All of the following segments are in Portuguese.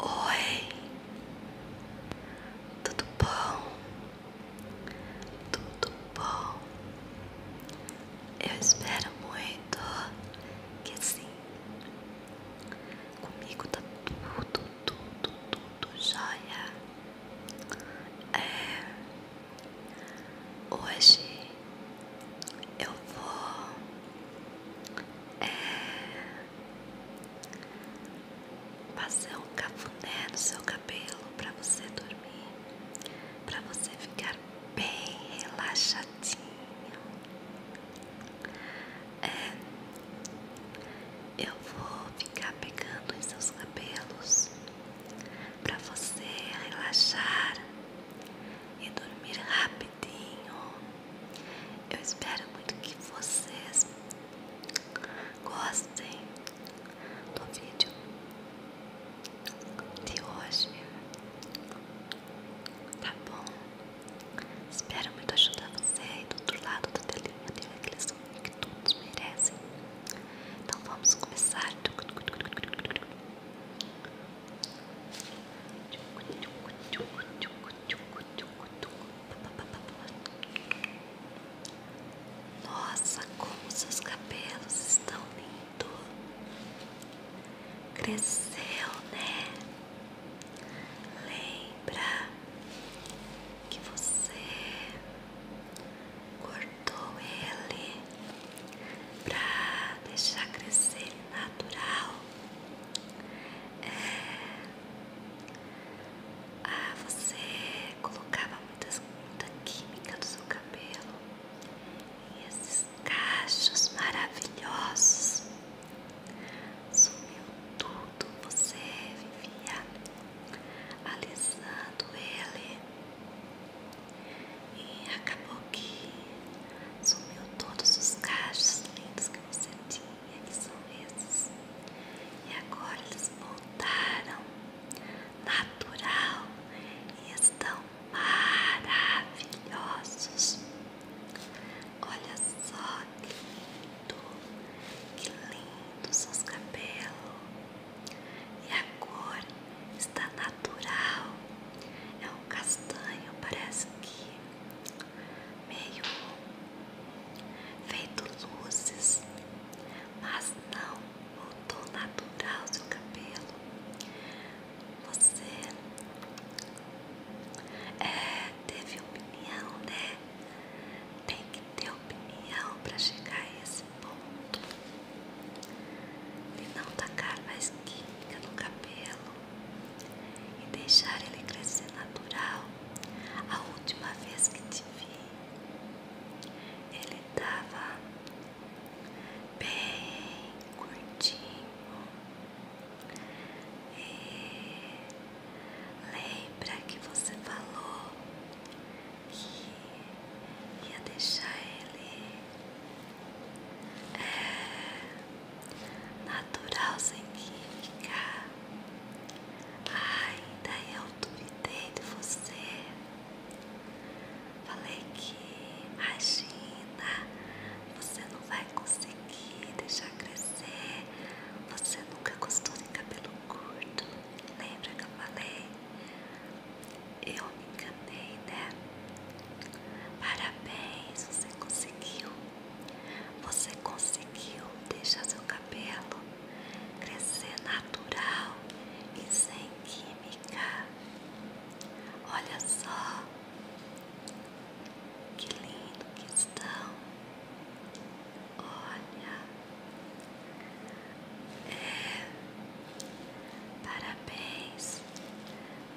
Oi, tudo bom? Tudo bom? Eu espero muito que sim. Comigo tá tudo, tudo, tudo jóia. É, hoje eu vou é passar um cafuné no seu cabelo para você dormir, para você ficar bem relaxadinho. É, eu vou ficar pegando em seus cabelos para você relaxar e dormir rápido rapidinho. Eu espero muito que vocês gostem do vídeo de hoje. Tá bom? Espero muito ajudar você aí do outro lado da telinha ter né? aquele sonho que todos merecem. Então vamos começar. Nossa, como seus cabelos estão lindos. Cresceu, né? Lembra que você cortou ele pra deixar crescer natural? É. Ah, você colocava muitas, muita química no seu cabelo e esses cachos maravilhosos sumiu tudo. Você vivia alisando ele e acabou que sumiu todos os cachos lindos que você tinha e esses E agora eles voltaram, natural, e estão maravilhosos. Olha só que lindo, que lindo seus cabelos. E a cor está natural, é um castanho, parece que meio feito luzes, mas não voltou natural seu cabelo. Você é, teve opinião, né? Tem que ter opinião para chegar a esse ponto e não tacar mais química no cabelo e deixar ele crescer natural. A última vez que te vi, ele estava bem curtinho. E lembra que você falou que ia deixar ele. É, natural sem química. ainda daí eu duvidei de você. Falei que, imagina, você não vai conseguir deixar crescer. Você nunca gostou de cabelo curto. Lembra que eu falei? Eu me enganei, né? Parabéns, você conseguiu. Você conseguiu deixar seu cabelo crescer natural e sem química. Olha só que lindo que estão. Olha, é, parabéns.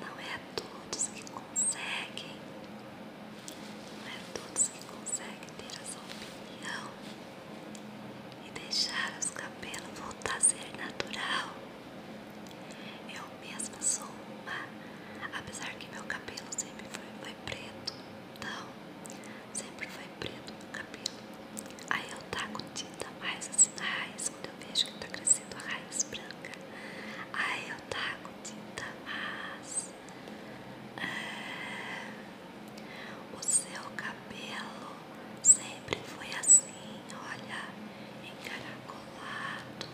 Não é a todos que conseguem não é todos que conseguem ter essa opinião e deixar os cabelos voltar a ser natural. Eu mesma sou uma, apesar que meu cabelo sempre foi, preto, então sempre foi preto meu cabelo. Aí eu taco tinta mais assim na raiz, quando eu vejo que tá crescendo a raiz branca. Aí eu taco tinta mais o seu cabelo sempre foi assim, olha, encaracolado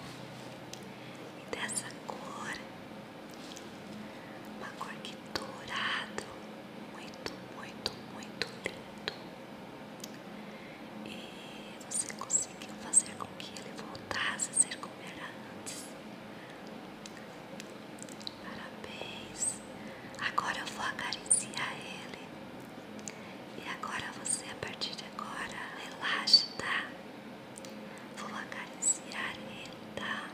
e dessa cor, uma cor que dourado, muito, muito, muito lindo. E você conseguiu fazer com que ele voltasse a ser como era antes. Parabéns. Agora eu vou acariciar ele. E agora você, a partir de agora, relaxa, tá? Vou acariciar ele, tá?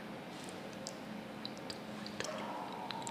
Muito, muito.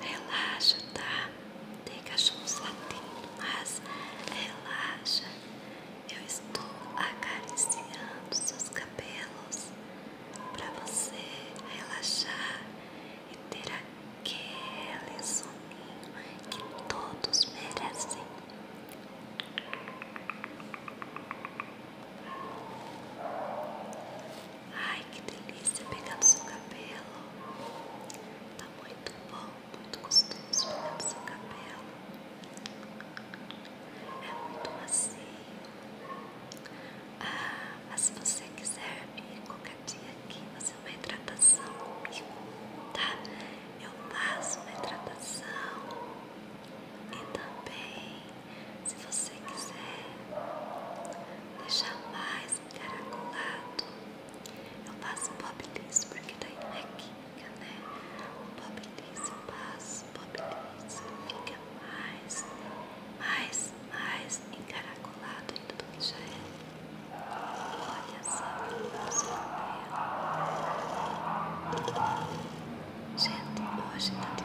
Relaxa, tá? Tem cachorros latindo, mas relaxa. Eu estou acariciando seus cabelos para você relaxar e ter aquele soninho que todos merecem. Ai, que delícia pegar no seu cabelo. Tá muito bom, muito gostoso pegar no seu cabelo. É muito macio. Ah, mas se você quiser vir qualquer dia aqui fazer uma hidratação comigo, tá? Eu faço uma hidratação e também se você quiser deixar mais encaracolado, eu passo boblice porque daí não é química, né? O boblice eu passo, boblice fica mais, mais, mais encaracolado ainda do que já é. Olha só, só Gente, hoje tá de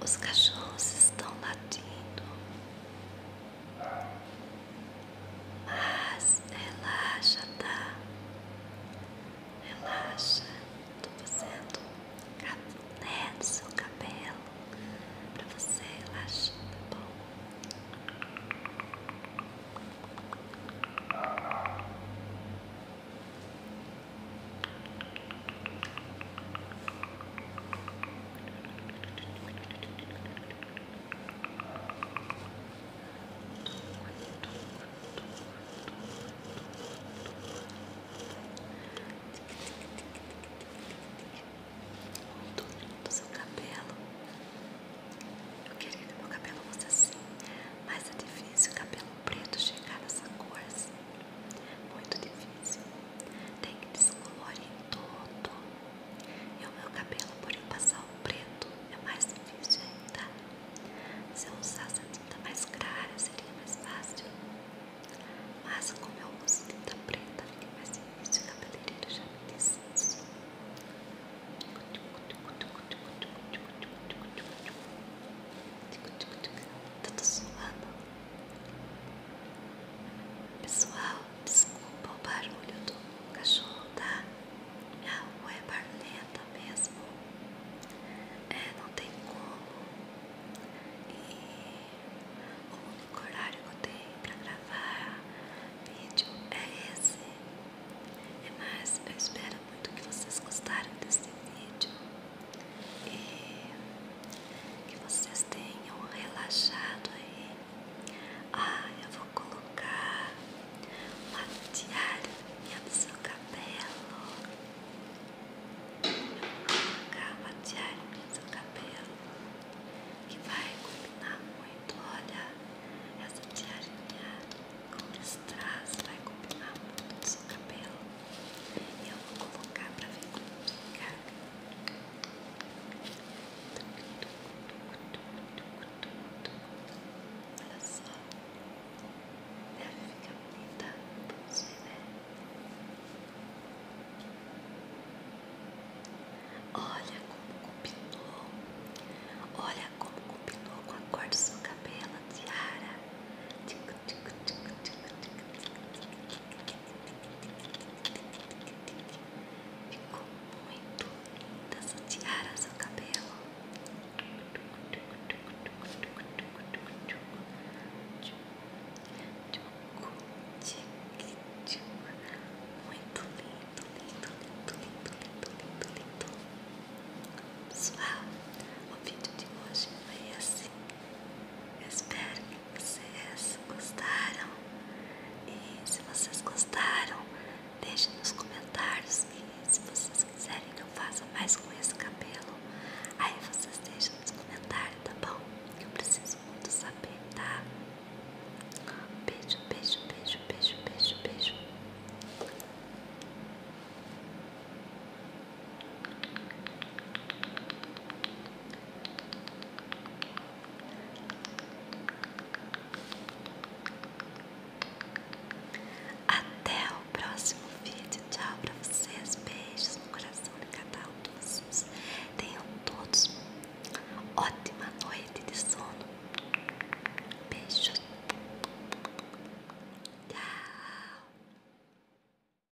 os cachorros estão latindo, mas relaxa, tá? Relaxa, tô fazendo café né, no seu cabelo para você relaxar, tá bom? Muito lindo seu cabelo. Eu queria que meu cabelo fosse assim, mas é difícil o cabelo preto chegar nessa cor assim. Muito difícil. Tem que descolorir todo. E o meu cabelo, por eu passar o preto, é mais difícil ainda. Se eu usasse a tinta mais clara, seria mais fácil. Mas como eu uso tinta preta, fica mais difícil. O cabeleireiro já me disse isso. Tá suando. Pessoal, desculpa o barulho do cachorro, tá? A rua é barulhenta mesmo. É, não tem como. E o único horário que eu tenho pra gravar vídeo é esse. É mais, eu espero muito que vocês gostaram desse vídeo e que vocês tenham relaxado aí. Ah, eu vou colocar uma diária do seu cabelo. Eu vou colocar uma diária do seu cabelo que vai combinar muito. Olha, essa tiarinha com esse traço vai combinar muito com o seu cabelo. Eu vou colocar pra ver como fica. Olha só. ela fica bonita. Vamos ver, né? Olha como combinou. Olha como combinou com a cor do seu cabelo, Tiara. Tic, tic, tic, tic, tic, tic, tic, tic, Ficou muito linda essa tiara, seu cabelo. Muito lindo, lindo, lindo, lindo, lindo, lindo, lindo. Pessoal, o vídeo de hoje foi assim. Espero vocês gostaram e se vocês gostaram deixem nos comentários e se vocês quiserem que eu faça mais com esse cabelo aí vocês deixam nos comentários tá bom eu preciso muito saber tá beijo beijo beijo beijo beijo beijo até o próximo vídeo. Tchau pra vocês. Beijos no coração de cada um de vocês. Tenham todos ótima noite de sono. Beijos. Tchau.